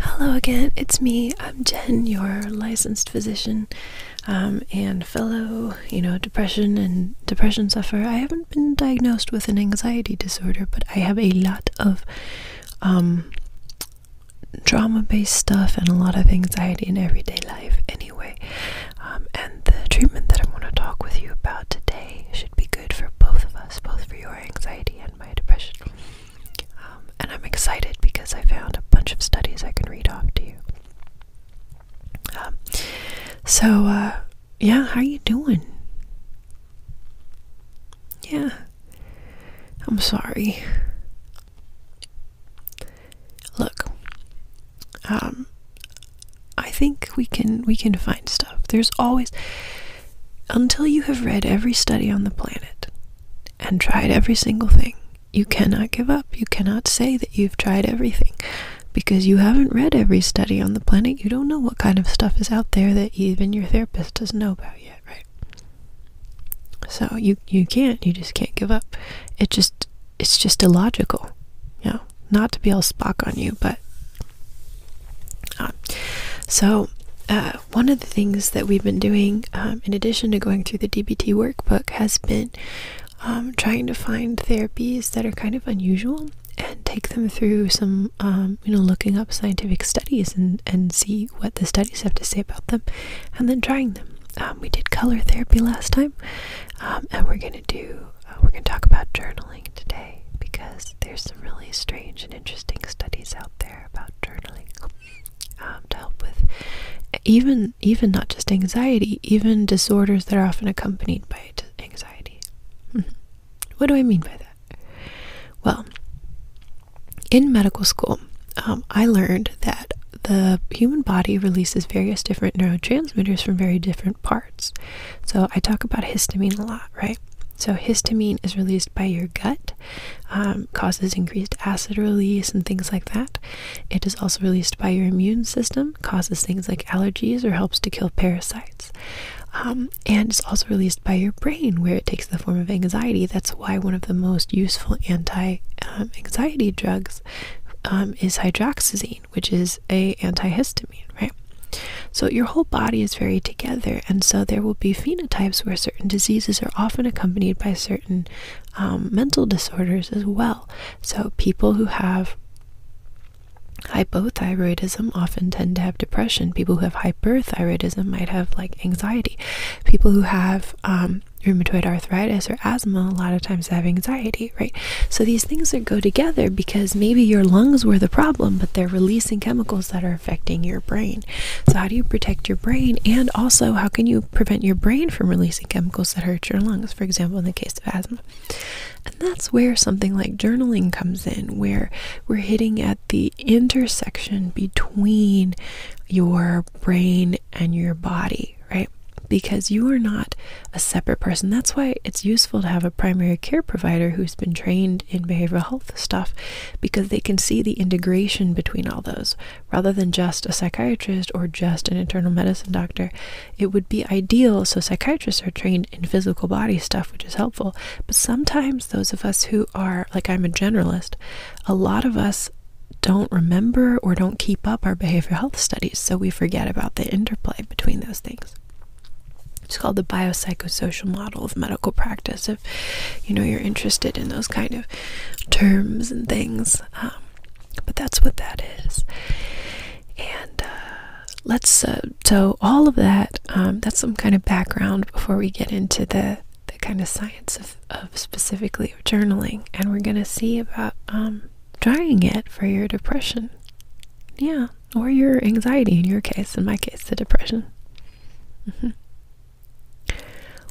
Hello again, it's me. I'm Jen, your licensed physician um, and fellow, you know, depression and depression sufferer. I haven't been diagnosed with an anxiety disorder, but I have a lot of um, trauma based stuff and a lot of anxiety in everyday life anyway. Um, and the treatment that I am going to talk with you about today should be good for both of us, both for your anxiety and my depression. Um, and I'm excited because I found a bunch of studies I can read off to you. Um, so, uh, yeah, how are you doing? Yeah, I'm sorry. Look, um, I think we can we can find stuff. There's always until you have read every study on the planet and tried every single thing, you cannot give up. You cannot say that you've tried everything because you haven't read every study on the planet. You don't know what kind of stuff is out there that even your therapist doesn't know about yet, right? So you you can't. You just can't give up. It just it's just illogical. You know, not to be all Spock on you, but uh, so uh, one of the things that we've been doing, um, in addition to going through the DBT workbook, has been um, trying to find therapies that are kind of unusual and take them through some, um, you know, looking up scientific studies and, and see what the studies have to say about them and then trying them. we did color therapy last time, and we're going to do, uh, we're going to talk about journaling today because there's some really strange and interesting studies out there about journaling um, to help with even even not just anxiety, even disorders that are often accompanied by anxiety. Mm-hmm. what do I mean by that? Well, in medical school, um, I learned that the human body releases various different neurotransmitters from very different parts. So I talk about histamine a lot, right? So histamine is released by your gut um, causes increased acid release and things like that. It is also released by your immune system, causes things like allergies, or helps to kill parasites. Um, and it's also released by your brain, where it takes the form of anxiety. That's why one of the most useful anti um, anxiety drugs is hydroxyzine, which is a antihistamine, right? So your whole body is very together and so there will be phenotypes where certain diseases are often accompanied by certain um, mental disorders as well. So people who have hypothyroidism often tend to have depression. People who have hyperthyroidism might have like anxiety. People who have um, rheumatoid arthritis or asthma a lot of times have anxiety, right? So these things that go together because maybe your lungs were the problem, but they're releasing chemicals that are affecting your brain. So, how do you protect your brain? And also, how can you prevent your brain from releasing chemicals that hurt your lungs, for example, in the case of asthma? And that's where something like journaling comes in, where we're hitting at the intersection between your brain and your body, right? Because you are not a separate person. That's why it's useful to have a primary care provider who's been trained in behavioral health stuff because they can see the integration between all those. Rather than just a psychiatrist or just an internal medicine doctor, it would be ideal. So, psychiatrists are trained in physical body stuff, which is helpful. But sometimes, those of us who are, like I'm a generalist, a lot of us don't remember or don't keep up our behavioral health studies, so we forget about the interplay between those things. It's called the biopsychosocial model of medical practice, you know you're interested in those kind of terms and things. Um, but that's what that is. And uh, let's uh, so all of that. Um, that's some kind of background before we get into the the kind of science of, specifically journaling, and we're gonna see about um, trying it for your depression. Yeah, or your anxiety in your case. In my case, the depression. Mm-hmm.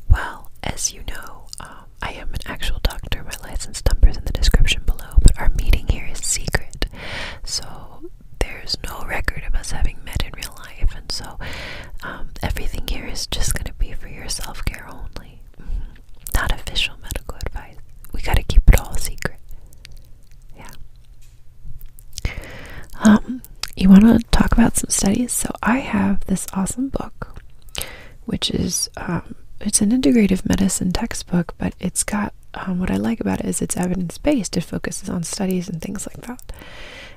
Well, as you know, um, I am an actual doctor. My license number is in the description below, but our meeting here is secret. So there's no record of us having met in real life, and so um, everything here is just going to be for your self care only. Mm-hmm. Not official medical advice. We got to keep it all secret. Yeah. Um, you want to talk about some studies? So I have this awesome book, which is um, it's an integrative medicine textbook, but it's got um, what I like about it is it's evidence based. It focuses on studies and things like that.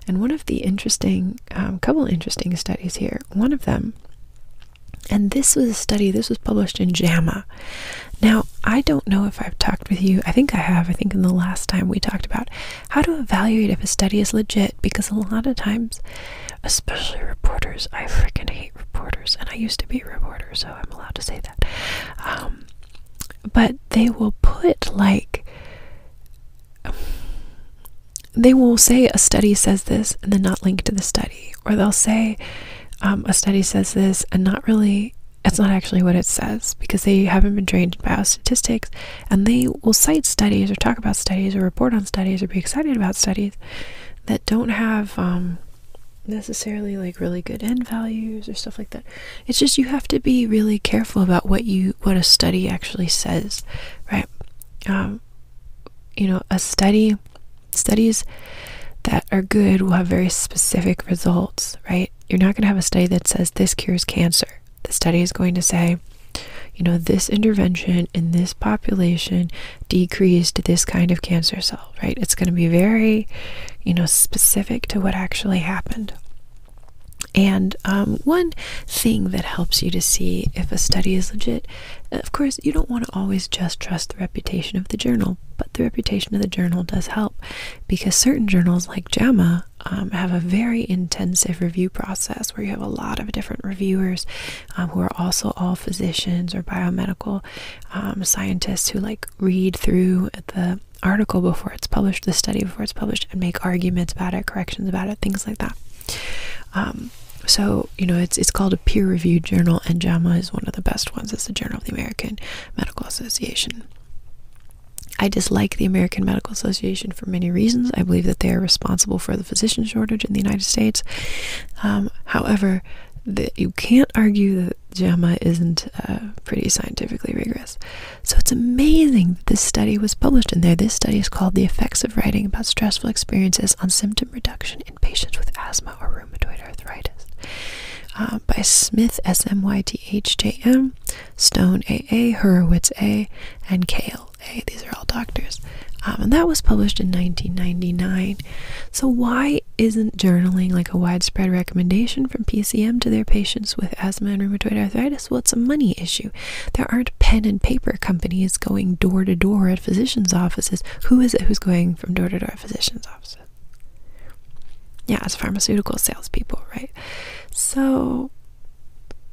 And one of the interesting, couple interesting studies here. One of them, and this was a study. This was published in JAMA. Now I don't know if I've talked with you. I think I have. I think in the last time we talked about how to evaluate if a study is legit because a lot of times, especially reporters, I freaking hate reporters, and I used to be a reporter, so I'm allowed to say that. Um, but they will put like, they will say a study says this and then not link to the study, or they'll say um, a study says this and not really it's not actually what it says because they haven't been trained in biostatistics and they will cite studies or talk about studies or report on studies or be excited about studies that don't have um, necessarily like really good end values or stuff like that. It's just you have to be really careful about what you what a study actually says, right? Um, you know, a study studies that are good will have very specific results, right? You're not going to have a study that says this cures cancer the study is going to say, you know, this intervention in this population decreased this kind of cancer cell, right? It's going to be very, you know, specific to what actually happened. And um, one thing that helps you to see if a study is legit, of course, you don't want to always just trust the reputation of the journal, but the reputation of the journal does help because certain journals, like JAMA, um, have a very intensive review process where you have a lot of different reviewers um, who are also all physicians or biomedical um, scientists who like read through the article before it's published, the study before it's published, and make arguments about it, corrections about it, things like that. Um, so you know it's it's called a peer-reviewed journal, and JAMA is one of the best ones. It's the Journal of the American Medical Association. I dislike the American Medical Association for many reasons. I believe that they are responsible for the physician shortage in the United States. Um, however, the, you can't argue that JAMA isn't uh, pretty scientifically rigorous. So it's amazing that this study was published in there. This study is called The Effects of Writing About Stressful Experiences on Symptom Reduction in Patients with Asthma or Rheumatoid Arthritis uh, by Smith, S M Y T H J M. Stone A.A., Hurwitz A., and Kale A. These are all doctors. Um, and that was published in 1999. So, why isn't journaling like a widespread recommendation from PCM to their patients with asthma and rheumatoid arthritis? Well, it's a money issue. There aren't pen and paper companies going door to door at physicians' offices. Who is it who's going from door to door at physicians' offices? yeah, as pharmaceutical salespeople, right? So,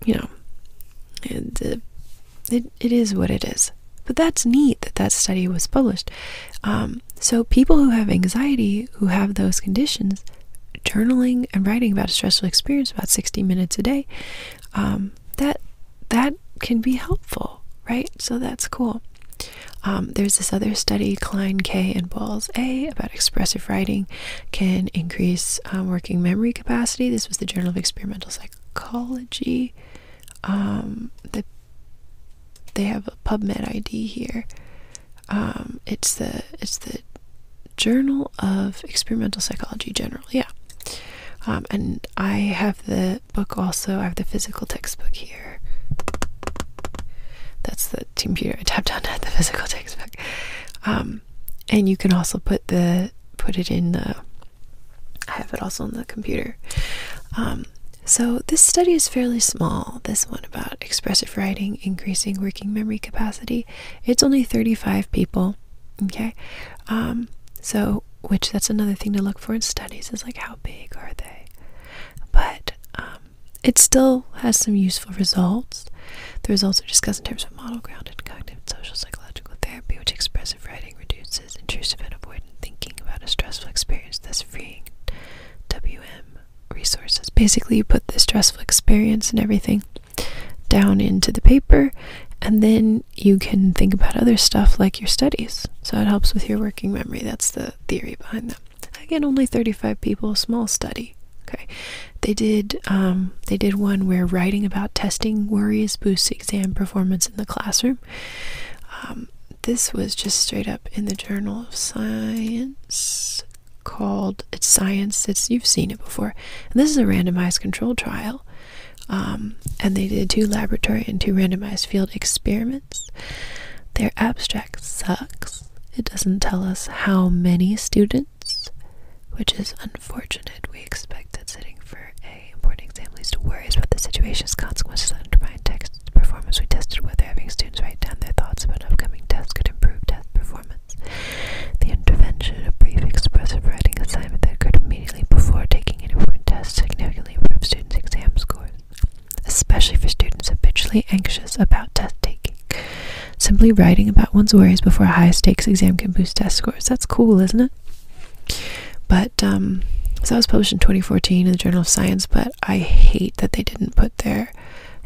you know, it, uh, it, it is what it is. But that's neat that that study was published. Um, so, people who have anxiety, who have those conditions, journaling and writing about a stressful experience about 60 minutes a day, um, that that can be helpful, right? So that's cool. Um, there's this other study, Klein K and Balls A, about expressive writing can increase um, working memory capacity. This was the Journal of Experimental Psychology. Um, the, they have a PubMed ID here. Um, it's the it's the Journal of Experimental Psychology General. Yeah. and I have the book also. I have the physical textbook here. That's the computer I tapped on at the physical textbook. Um, and you can also put the put it in the. I have it also on the computer. Um, so this study is fairly small. This one about expressive writing increasing working memory capacity. It's only 35 people. Okay, um, so which that's another thing to look for in studies is like how big are they? But it still has some useful results. The results are discussed in terms of model grounded cognitive and social psychological therapy, which expressive writing reduces intrusive and avoidant thinking about a stressful experience, thus freeing WM resources. Basically, you put the stressful experience and everything down into the paper, and then you can think about other stuff like your studies. So it helps with your working memory. That's the theory behind that. Again, only 35 people, small study. Okay, they did. Um, they did one where writing about testing worries boosts exam performance in the classroom. Um, this was just straight up in the Journal of Science called it's science Since you've seen it before this is a randomized control trial um, and they did two laboratory and two randomized field experiments their abstract sucks it doesn't tell us how many students, which is unfortunate. We expect that sitting for a important exam leads to worries about the situation's consequences that undermine text performance. We tested whether having students write down their thoughts about upcoming tests could improve test performance. The intervention of brief expressive writing assignment that occurred immediately before taking an important test significantly improved students' exam scores, especially for students habitually anxious about test taking. Simply writing about one's worries before a high stakes exam can boost test scores. That's cool, isn't it? But um, so that was published in 2014 in the Journal of Science, but I hate that they didn't put their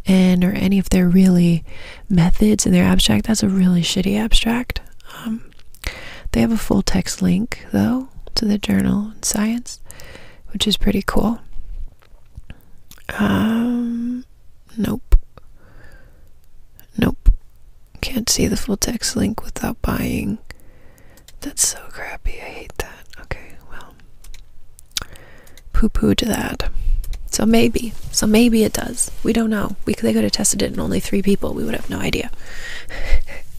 and or any of their really methods in their abstract. That's a really shitty abstract. Um, they have a full text link though to the Journal of Science, which is pretty cool. Um, nope. Nope. Can't see the full text link without buying. That's so crappy. I hate that. Okay, well. Poo to that. So maybe. So maybe it does. We don't know. We they could have tested it in only three people. We would have no idea.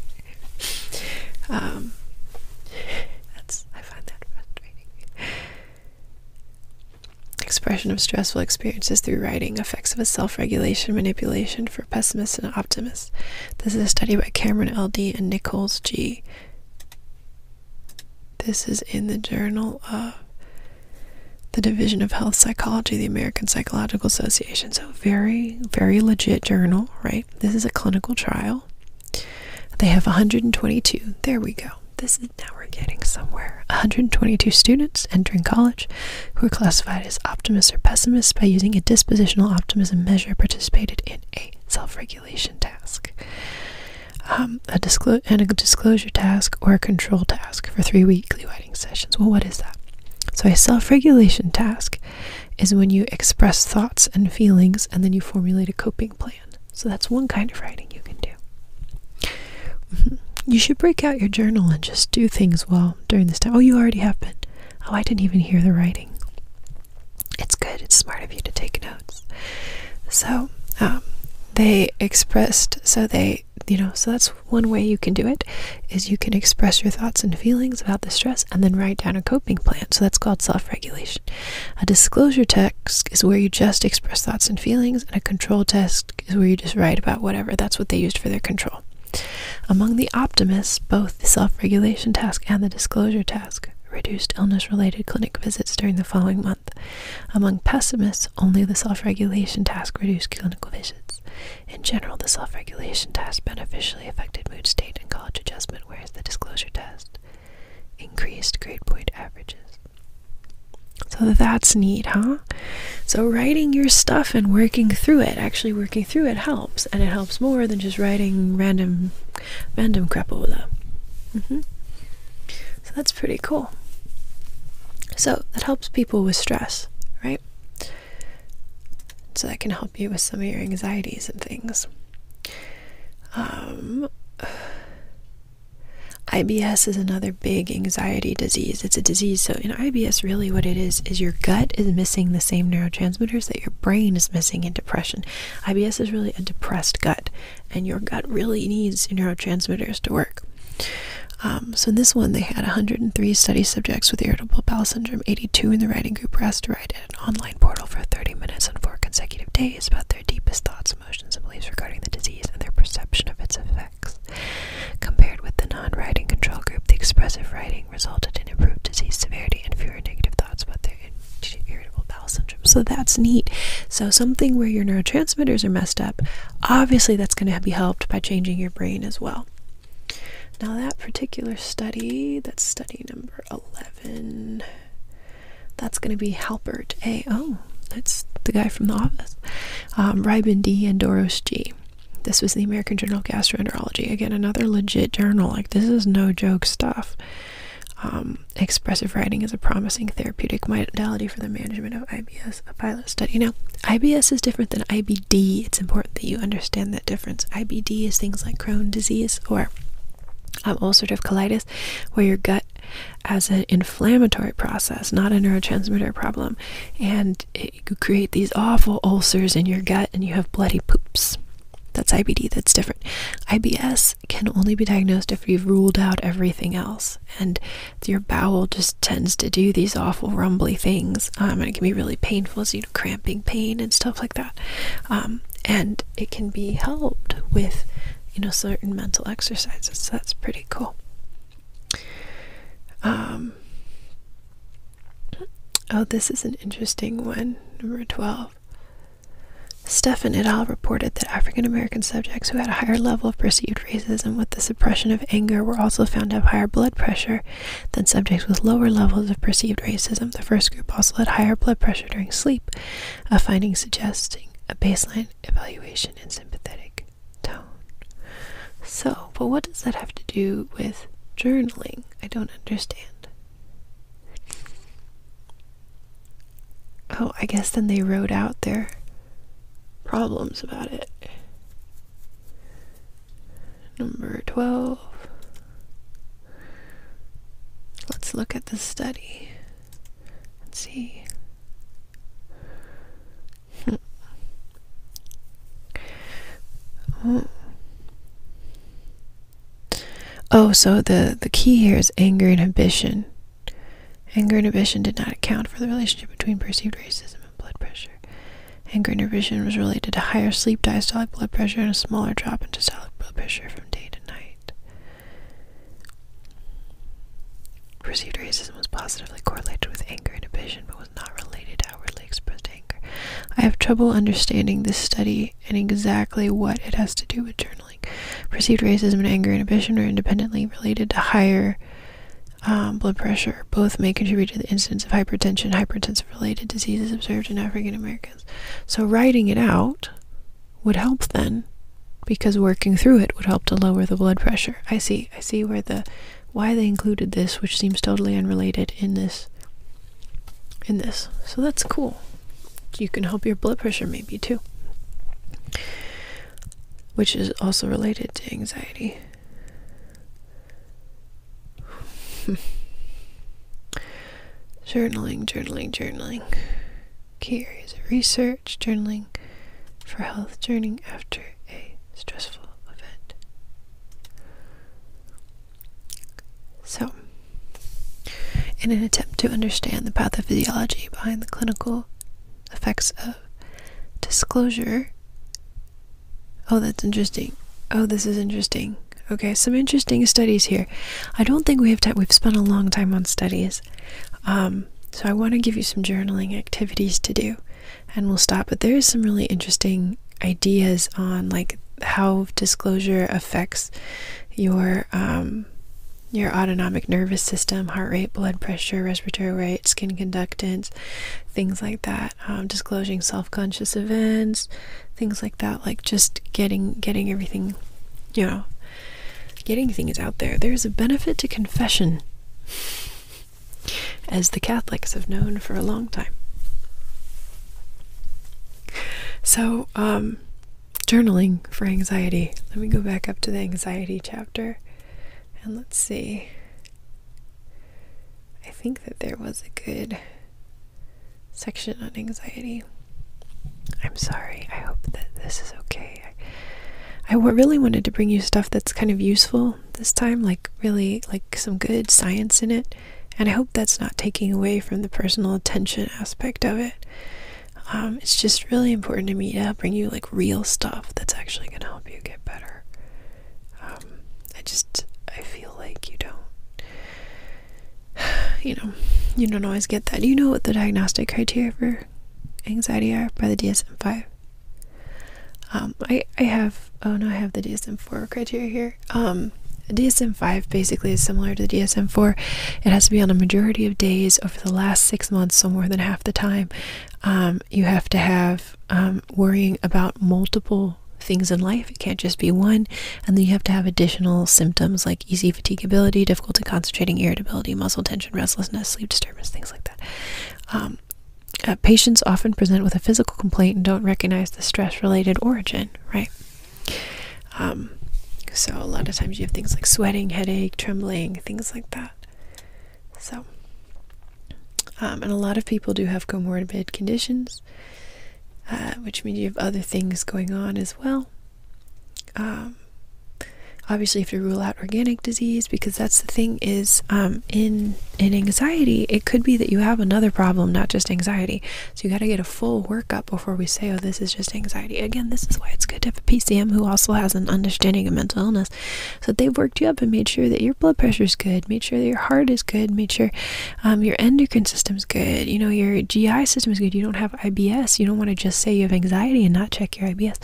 um, that's I find that frustrating. Expression of stressful experiences through writing, effects of a self regulation manipulation for pessimists and optimists. This is a study by Cameron L.D. and Nichols G. This is in the Journal of the Division of Health Psychology, the American Psychological Association. So, very, very legit journal, right? This is a clinical trial. They have 122. There we go this is now we're getting somewhere. 122 students entering college who are classified as optimists or pessimists by using a dispositional optimism measure participated in a self-regulation task. Um, a disclosure task or a control task for three weekly writing sessions. Well, what is that? So, a self regulation task is when you express thoughts and feelings and then you formulate a coping plan. So that's one kind of writing you can do. Mm-hmm. You should break out your journal and just do things while during this time. Oh, you already have been. Oh, I didn't even hear the writing. It's good. It's smart of you to take notes. So, um, they expressed, so they, you know, so that's one way you can do it is you can express your thoughts and feelings about the stress and then write down a coping plan. So that's called self regulation. A disclosure is where you just express thoughts and feelings, and a control desk is where you just write about whatever. That's what they used for their control. Among the optimists, both the self regulation task and the disclosure task reduced illness related clinic visits during the following month. Among pessimists, only the self regulation task reduced clinical visits. In general, the self regulation task beneficially affected mood state and college adjustment, whereas the disclosure test increased grade point averages. So that's neat, huh? So writing your stuff and working through it, actually working through it helps, and it helps more than just writing random, random crapola. Mm-hmm. So that's pretty cool. So that helps people with stress, right? So that can help you with some of your anxieties and things. Um, IBS is another big anxiety disease. It's a disease. So, in IBS, really what it is is your gut is missing the same neurotransmitters that your brain is missing in depression. IBS is really a depressed gut, and your gut really needs neurotransmitters to work. Um, so, in this one, they had 103 study subjects with irritable bowel syndrome, 82 in the writing group were asked to write at an online portal for 30 minutes on four consecutive days about their deepest thoughts emotions and beliefs regarding the disease and their perception of its effects. Compared with the non writing control group, the expressive writing resulted in improved disease severity and fewer negative thoughts about their irritable bowel syndrome. So that's neat. So, something where your neurotransmitters are messed up, obviously, that's going to be helped by changing your brain as well. Now, that particular study, that's study number 11. That's going to be Halpert A. Oh, that's the guy from The Office. Um, D. and Doros G. This was the American Journal of Gastroenterology. Again, another legit journal. Like, this is no joke stuff. Um, expressive writing is a promising therapeutic modality for the management of IBS, a pilot study. Now, IBS is different than IBD. It's important that you understand that difference. IBD is things like Crohn's disease or um, ulcerative colitis, where your gut as an inflammatory process, not a neurotransmitter problem. And you create these awful ulcers in your gut and you have bloody poops. That's IBD, that's different. IBS can only be diagnosed if you've ruled out everything else. And your bowel just tends to do these awful rumbly things. Um, and it can be really painful, so you know, cramping pain and stuff like that. Um, and it can be helped with you know certain mental exercises that's pretty cool um, oh this is an interesting one number 12 Stefan et al. reported that African American subjects who had a higher level of perceived racism with the suppression of anger were also found to have higher blood pressure than subjects with lower levels of perceived racism. The first group also had higher blood pressure during sleep, a finding suggesting a baseline evaluation, and sympathetic tone. So, but what does that have to do with journaling? I don't understand. Oh, I guess then they wrote out their problems about it. Number 12. Let's look at the study. Let's see. oh. oh, so the, the key here is anger inhibition. Anger inhibition did not account for the relationship between perceived racism and blood pressure. Anger inhibition was related to higher sleep diastolic blood pressure and a smaller drop in diastolic blood pressure from day to night. Perceived racism was positively correlated with anger inhibition, but was not related to outwardly expressed anger. I have trouble understanding this study and exactly what it has to do with journaling. Perceived racism and anger inhibition are independently related to higher um, blood pressure. Both may contribute to the incidence of hypertension, hypertensive related diseases observed in African Americans. So, writing it out would help then because working through it would help to lower the blood pressure. I see. I see where the why they included this, which seems totally unrelated in this in this. So that's cool. You can help your blood pressure maybe too. Which is also related to anxiety. journaling, journaling, journaling key areas of research, journaling for health, journaling after a stressful event. So, in an attempt to understand the pathophysiology behind the clinical effects of disclosure, oh, that's interesting. Oh, this is interesting. Okay, some interesting studies here. I don't think we have time. We've spent a long time on studies. Um, so I want to give you some journaling activities to do, and we'll stop. But there is some really interesting ideas on like how disclosure affects your um, your autonomic nervous system, heart rate, blood pressure, respiratory rate, skin conductance, things like that. Um, disclosing self-conscious events, things like that. Like just getting getting everything, you know, getting things out there. There's a benefit to confession, as the Catholics have known for a long time. So, um, journaling for anxiety. Let me go back up to the anxiety chapter and let's see. I think that there was a good section on anxiety. I'm sorry. I hope that this is okay. I, really wanted to bring you stuff that's kind of useful this time, like really like some good science in it, and I hope that's not taking away from the personal attention aspect of it. Um, it's just really important to me to bring you like real stuff that's actually going to help you get better. Um, I just I feel like you don't, you know, you don't always get that. you know what the diagnostic criteria for anxiety are by the DSM-5. Um, I I have oh no I have the DSM-4 criteria here. Um, DSM-5 basically is similar to DSM-4. It has to be on a majority of days over the last six months, so more than half the time. Um, you have to have worrying about multiple things in life. It can't just be one, and then you have to have additional symptoms like easy fatigability, difficulty concentrating, irritability, muscle tension, restlessness, sleep disturbance, things like that. Um, uh, patients often present with a physical complaint and don't recognize the stress related origin, right? Um, so, a lot of times you have things like sweating, headache, trembling, things like that. So, um, and a lot of people do have comorbid conditions, uh, which means you have other things going on as well um, obviously you have to rule out organic disease because that's the thing is um, in in anxiety it could be that you have another problem not just anxiety so you got to get a full workup before we say oh this is just anxiety again this is why it's good to have a pcm who also has an understanding of mental illness so they've worked you up and made sure that your blood pressure is good made sure that your heart is good made sure um, your endocrine system is good you know your gi system is good you don't have IBS, you don't want to just say you have anxiety and not check your IBS.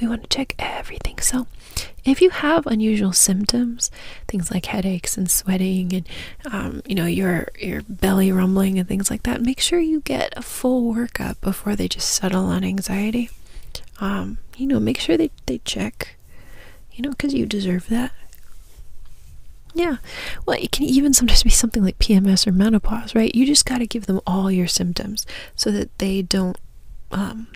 We want to check everything. So, if you have unusual symptoms, things like headaches and sweating, and um, you know your your belly rumbling and things like that, make sure you get a full workup before they just settle on anxiety. Um, you know, make sure they they check. You know, because you deserve that. Yeah. Well, it can even sometimes be something like PMS or menopause right? You just got to give them all your symptoms so that they don't um,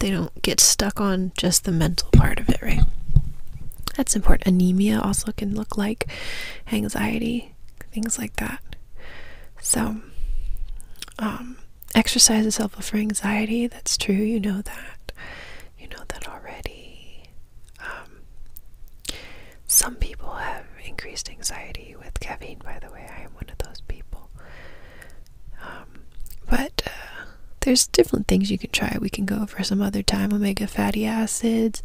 they don't get stuck on just the mental part of it, right? That's important. Anemia also can look like anxiety, things like that. So, um, exercise is helpful for anxiety. That's true. You know that. You know that already. Um, some people have increased anxiety with caffeine, by the way. I am one of those people. Um, but uh, there's different things you can try. We can go over some other time omega fatty acids,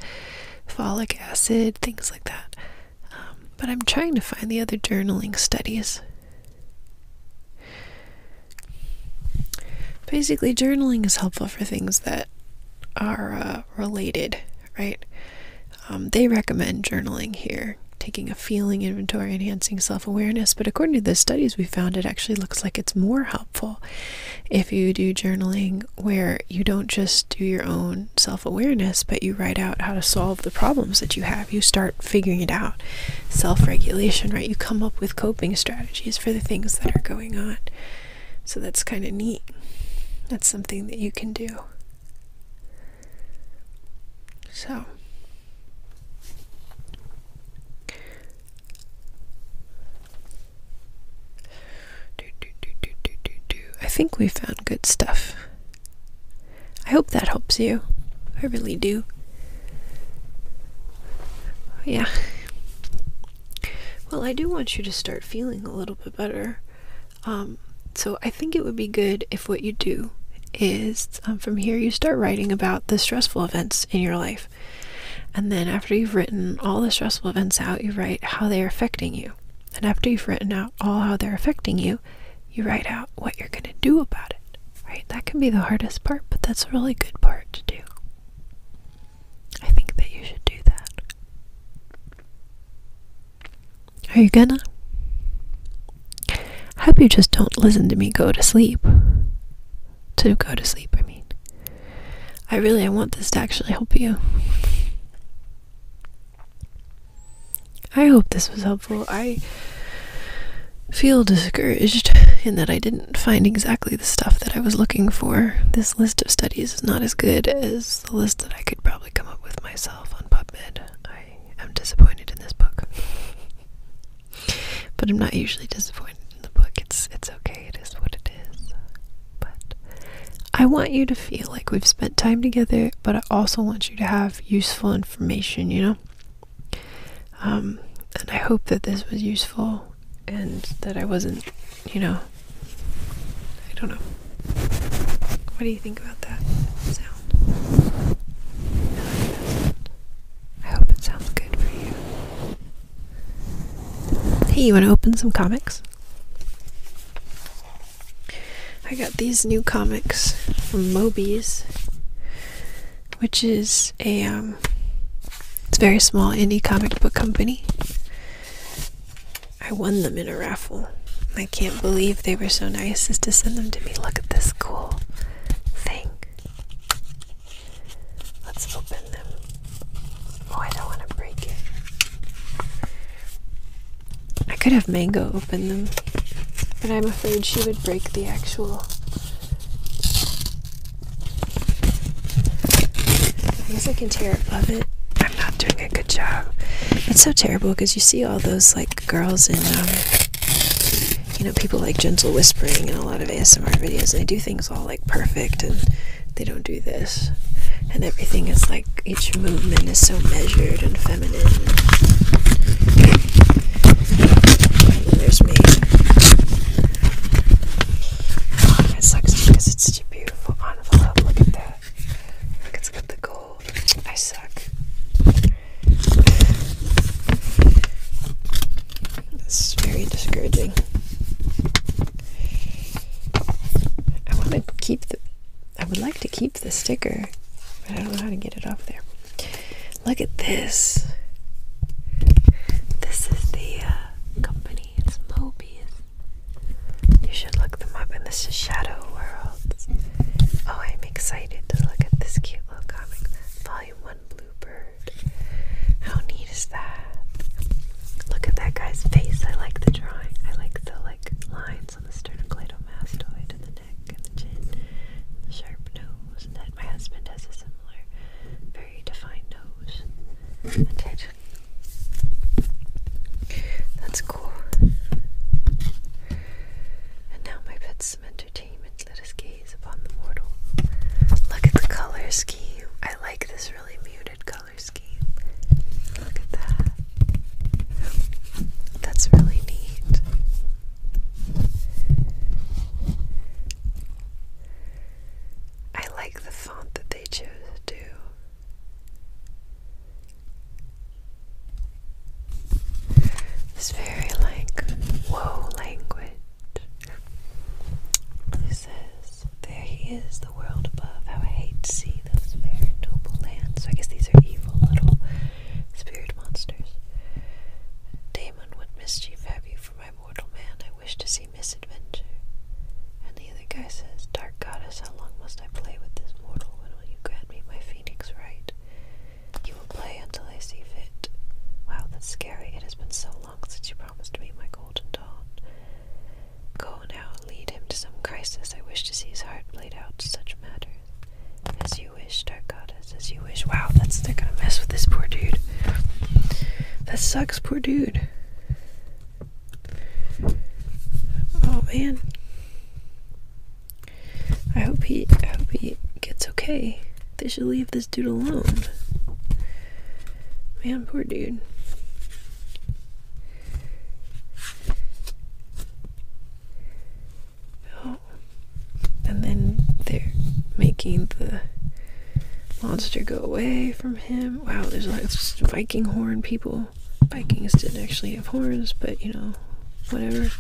folic acid, things like that. Um, but I'm trying to find the other journaling studies. Basically, journaling is helpful for things that are uh, related, right? Um, they recommend journaling here, taking a feeling inventory, enhancing self awareness. But according to the studies we found, it actually looks like it's more helpful if you do journaling where you don't just do your own self awareness, but you write out how to solve the problems that you have. You start figuring it out. Self regulation, right? You come up with coping strategies for the things that are going on. So that's kind of neat. That's something that you can do. So, I think we found good stuff. I hope that helps you. I really do. Yeah. Well, I do want you to start feeling a little bit better. Um, so I think it would be good if what you do is um, from here you start writing about the stressful events in your life. And then after you've written all the stressful events out, you write how they are affecting you. And after you've written out all how they're affecting you, you write out what you're going to do about it. Right? That can be the hardest part, but that's a really good part to do. I think that you should do that. Are you gonna? I Hope you just don't listen to me go to sleep. To go to sleep, I mean. I really I want this to actually help you. I hope this was helpful. I feel discouraged in that I didn't find exactly the stuff that I was looking for. This list of studies is not as good as that's the list that I could probably come up with myself on PubMed. I am disappointed in this book. but I'm not usually disappointed in the book. It's it's okay. It is what it is. But I want you to feel like we've spent time together, but I also want you to have useful information, you know? Um, and I hope that this was useful and that I wasn't you know, I don't know. What do you think about that sound? I, hope it sounds good for you. Hey, you want to open some comics? I got these new comics from Moby's, which is a um, very small indie comic book company. I won them in a raffle. I can't believe they were so nice as to send them to me. Look at this cool thing. Let's open them. Oh, I don't want to break it. I could have Mango open them, but I'm afraid she would break the actual. I guess I can tear it. above it. I'm not doing it good job. It's so terrible because you see all those like girls and um, you know, people like gentle whispering and a lot of ASMR videos, and they do things all like perfect, and they don't do this, and everything is like each movement is so measured and feminine. there's me. Oh, it sucks because it's too beautiful envelope. Look at that. Look, it's the gold. I suck. This very discouraging. I want to keep the. I would like to keep the sticker, but I don't know how to get it off there. Look at this. This is the uh, company. It's Mobius. You should look them up, and this is Shadow World. Oh, I'm excited to look at this cute little comic. Volume 1 Bluebird. How neat is that? Look at that guy's face. I like the drawing. I like the like lines on the sternocleidomastoid and the neck and the chin the sharp nose. And that my husband has a similar, very defined nose. And that's cool. And now, my pets, some entertainment. Let us gaze upon the mortal. Look at the color scheme. I like this really muted color scheme. Look at that. That's really neat. I like the font that they chose to it's very like whoa language. It says, There he is, the world above. How I hate to see those fair and noble lands. So I guess these are evil little spirit monsters. Damon, what mischief have you for my mortal man? I wish to see misadventure the other guy says, Dark goddess, how long must I play with this mortal? When will you grant me my phoenix right? You will play until I see fit. Wow, that's scary. It has been so long since you promised me my golden dawn. Go now, and lead him to some crisis. I wish to see his heart bleed out such matters. As you wish, dark goddess, as you wish. Wow, that's they're gonna mess with this poor dude. That sucks, poor dude. Oh man. I hope he I hope he gets okay. They should leave this dude alone. Man, poor dude. Oh. And then they're making the monster go away from him. Wow, there's like Viking horn people. Vikings didn't actually have horns, but you know, whatever.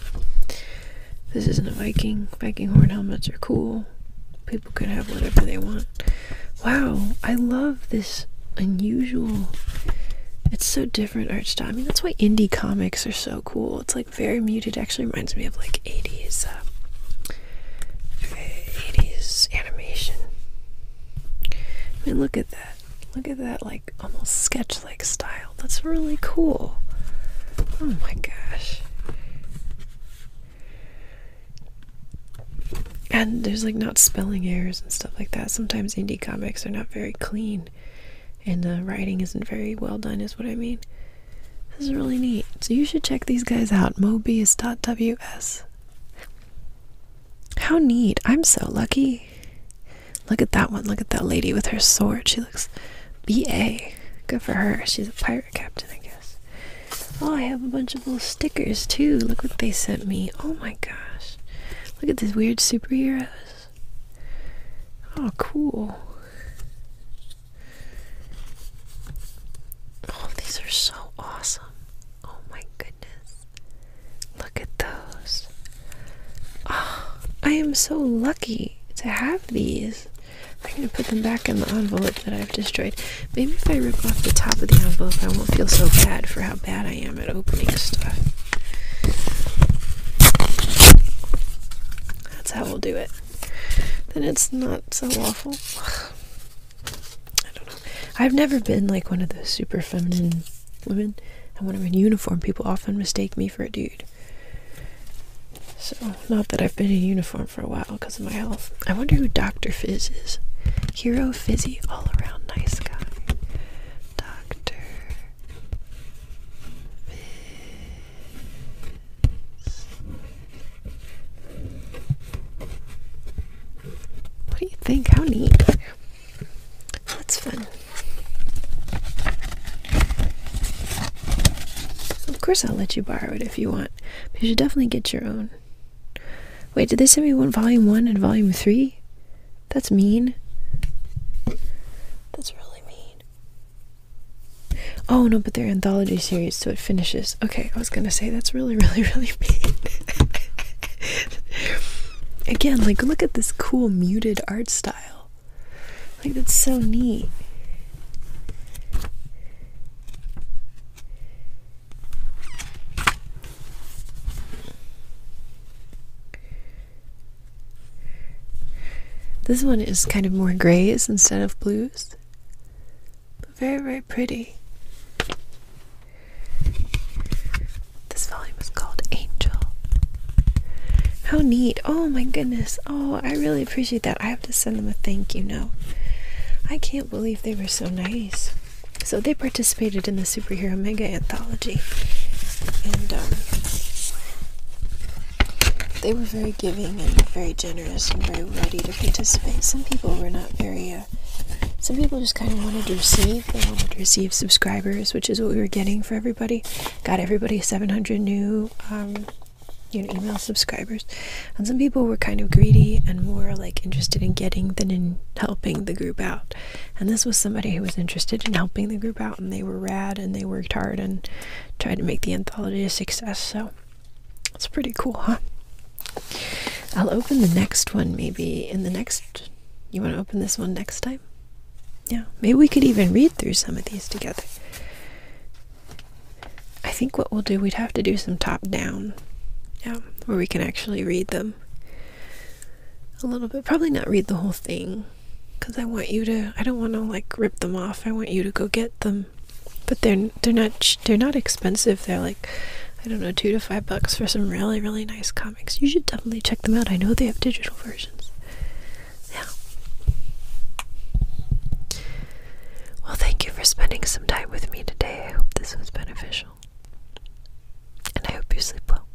This isn't a Viking. Viking horn helmets are cool. People could have whatever they want. Wow, I love this unusual. It's so different art style. I mean, that's why indie comics are so cool. It's like very muted. Actually, reminds me of like 80s, 80s um, animation. I mean, look at that. Look at that, like almost sketch like style. That's really cool. Oh my gosh. And there's like not spelling errors and stuff like that. Sometimes indie comics are not very clean and the uh, writing isn't very well done, is what I mean. This is really neat. So you should check these guys out. Mobius.ws. How neat. I'm so lucky. Look at that one. Look at that lady with her sword. She looks BA. Good for her. She's a pirate captain, I guess. Oh, I have a bunch of little stickers too. Look what they sent me. Oh my gosh. Look at these weird superheroes. Oh, cool. Oh, these are so awesome. Oh my goodness. Look at those. Ah, I am so lucky to have these. I'm going to put them back in the envelope that I've destroyed. Maybe if I rip off the top of the envelope, I won't feel so bad for how bad I am at opening stuff. That's how we'll do it. Then it's not so awful. I don't know. I've never been like one of those super feminine women, and when I'm in uniform, people often mistake me for a dude. So, not that I've been in uniform for a while because of my health. I wonder who Dr. Fizz is. Hero Fizzy, all around nice guy. Dr. Fizz. What do you think? How neat. That's fun. Of course, I'll let you borrow it if you want, but you should definitely get your own. Wait, did they send me one volume one and volume three? That's mean. That's really mean. Oh no, but they're anthology series, so it finishes. Okay, I was gonna say that's really, really, really mean. Again, like look at this cool muted art style. Like that's so neat. This one is kind of more grays instead of blues. But very, very pretty. This volume is called Angel. How neat. Oh my goodness. Oh, I really appreciate that. I have to send them a thank you note. I can't believe they were so nice. So they participated in the Superhero Mega Anthology. And um, they were very giving and very generous and very ready to participate. Some people were not very uh, some people just kind of wanted to receive. They wanted to receive subscribers, which is what we were getting for everybody. Got everybody 700 new um, you know, email subscribers. And some people were kind of greedy and more like interested in getting than in helping the group out. And this was somebody who was interested in helping the group out, and they were rad and they worked hard and tried to make the anthology a success. So it's pretty cool, huh? I'll open the next one maybe in the next you want to open this one next time? Yeah, maybe we could even read through some of these together. I think what we'll do, we'd have to do some top down. Yeah, where we can actually read them a little bit. Probably not read the whole thing because I want you to, I don't want to like rip them off. I want you to go get them. But they're, they're not, they're not expensive. They're like, I don't know, two to five bucks for some really, really nice coffee. You should definitely check them out. I know they have digital versions. Yeah. Well, thank you for spending some time with me today. I hope this was beneficial. And I hope you sleep well.